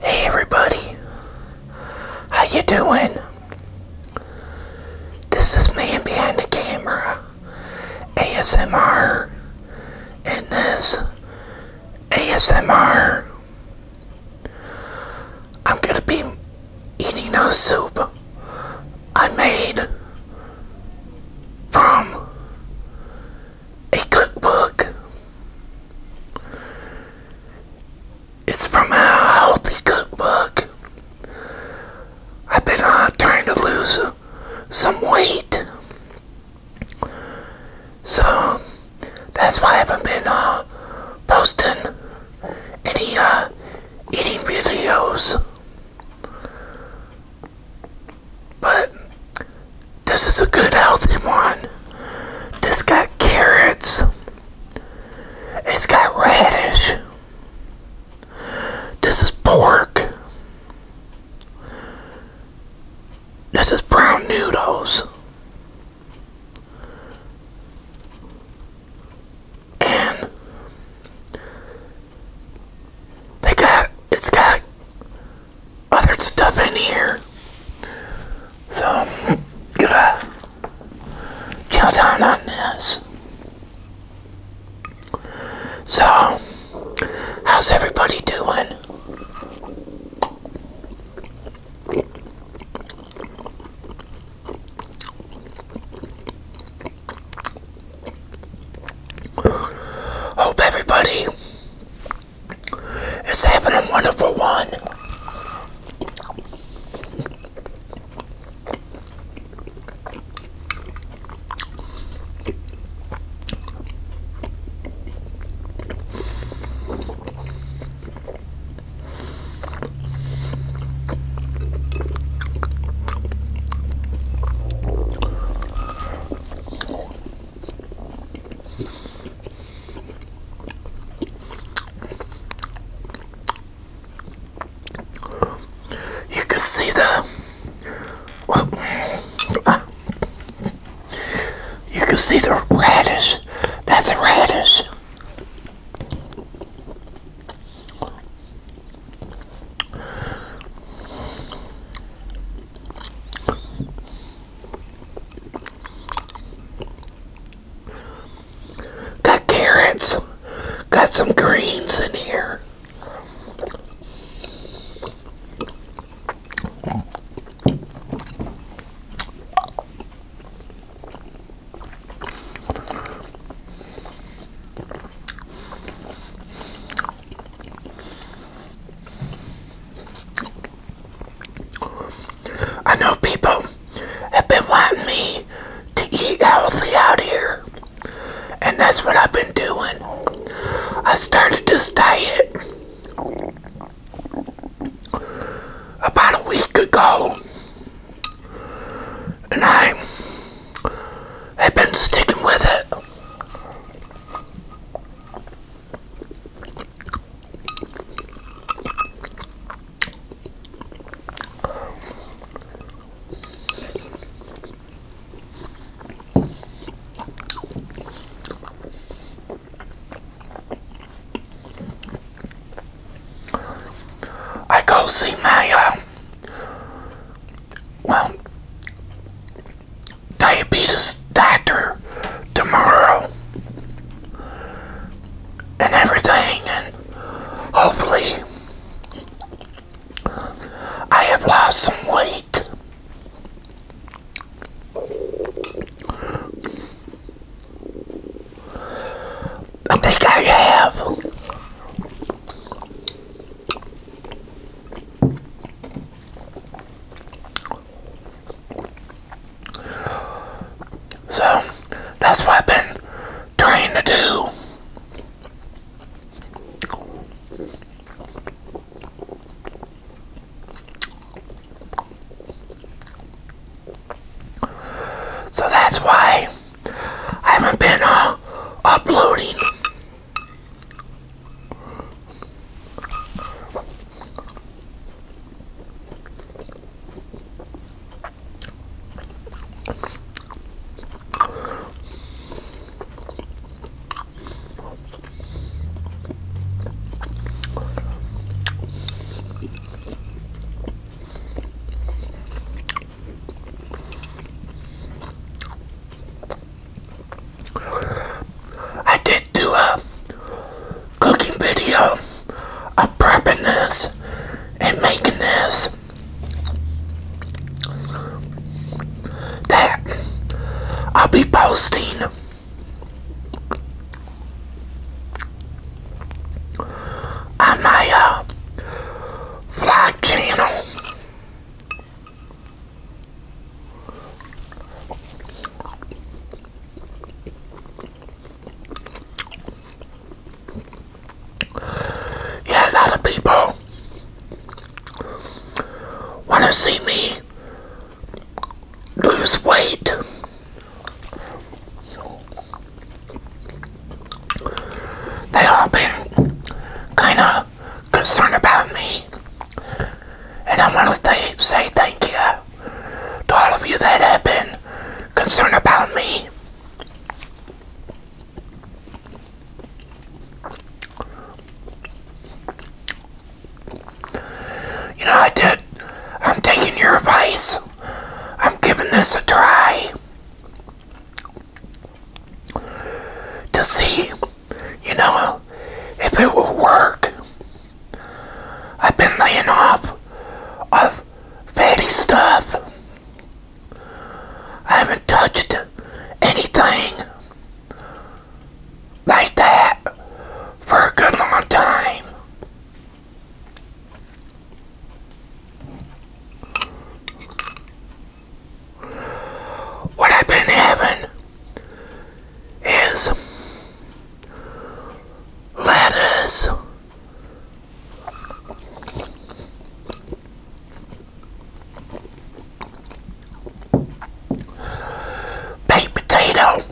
Hey everybody, how you doing? This is man behind the camera, ASMR, and this ASMR. I'm gonna be eating a soup I made from a cookbook. It's from a healthy cookbook. I've been uh, trying to lose some weight. So that's why I haven't been uh, posting any uh, eating videos. But this is a good healthy one. This got carrots. It's got radish. This is pork. This is brown noodles. And they got it's got other stuff in here. So, get a going chill down on this. So, how's everybody doing? Hope everybody is having a wonderful one. You can see the ah. you can see the radish. That's the radish. Got carrots, got some greens in here. I know people have been wanting me to eat healthy out here, and that's what I've been doing. I started this diet about a week ago, and I I've been sticking with it. I go see Maya. Well, diabetes doctor tomorrow and everything, and hopefully, I have lost some weight. I think I have. So that's what I've been trying to do. So that's why. I haven't been uh, uploading. I did do a cooking video of prepping this and making this. That I'll be posting on my uh, vlog channel. Yeah, a lot of people want to see me lose weight they all been kind of concerned about me. And I want to say thank you to all of you that have been concerned about me. You know, I did, I'm taking your advice. I'm giving this a try to see, you know, if it will work. I've been laying off of fatty stuff. I haven't touched anything like that for a good long time. What I've been having is lettuce. Baked potato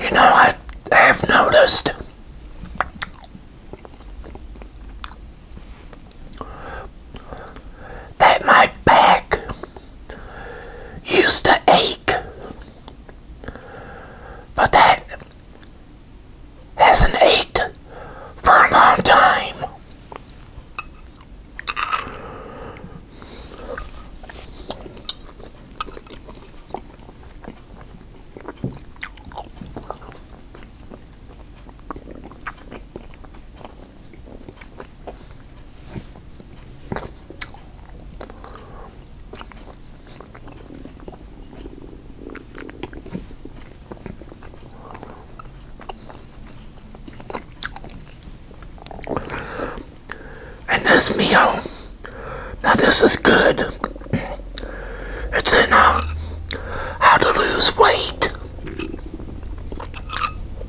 you know, I have noticed that my back used to ache but that hasn't ate for a long time. And this meal, now this is good. It's in uh, How to Lose Weight.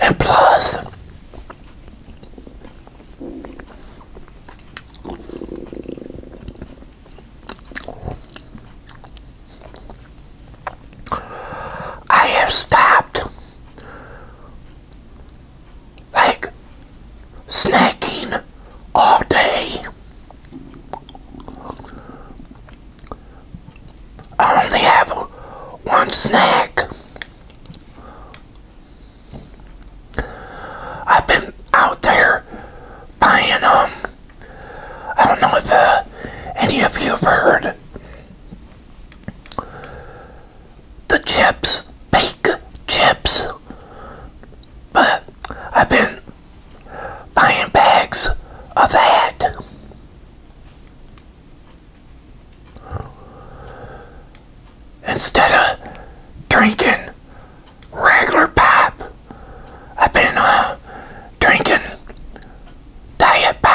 Applause. I have stopped like snacking all day. I only have one snack. I've been out there buying um I don't know if uh, any of you have heard the chips, bake chips. But I've been buying bags of that. Instead of drinking regular pop, I've been uh, drinking diet pop.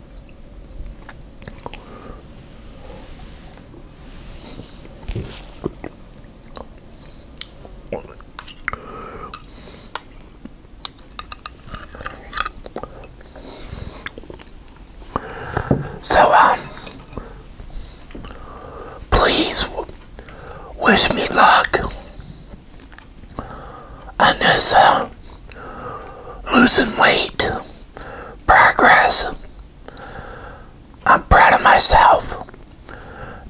So, um, please wish me luck on this uh, losing weight progress. I'm proud of myself.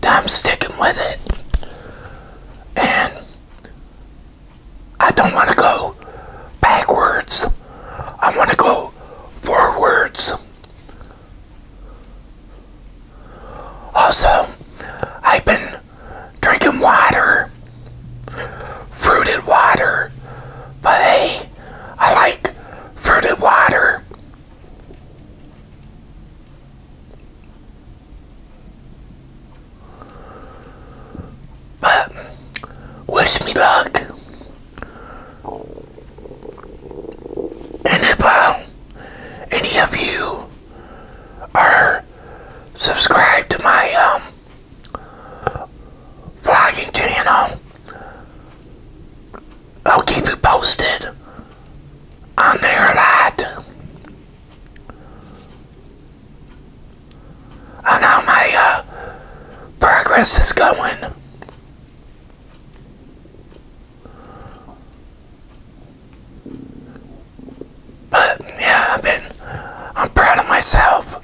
I'm sticking with it. And I don't want to go backwards. I want to go forwards. Also, I've been drinking water, fruited water. But hey, I like fruited water. But wish me luck. And if uh, any of you are subscribed to my um, vlogging channel. I'll keep you posted on there a lot on how my uh, progress is going. But yeah, I've been, I'm proud of myself.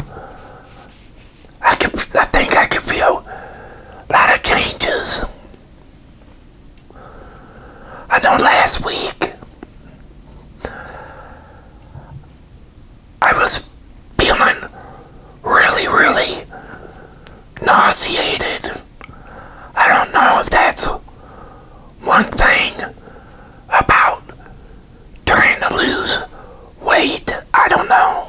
I could, I think I can feel a lot of changes. I know last week I was feeling really, really nauseated. I don't know if that's one thing about trying to lose weight. I don't know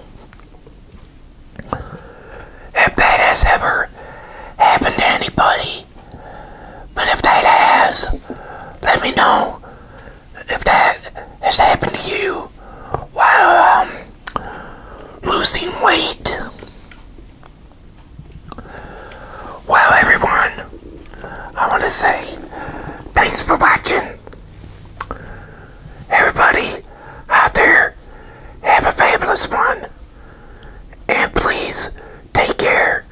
if that has ever happened to anybody, but if that has, let me know if that has happened to you while um, losing weight. Well, everyone, I want to say thanks for watching. Everybody out there, have a fabulous one. And please take care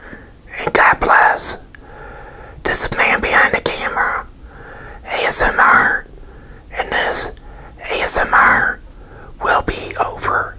and God bless. This Man Behind the Camera, ASMR, and this ASMR will be over.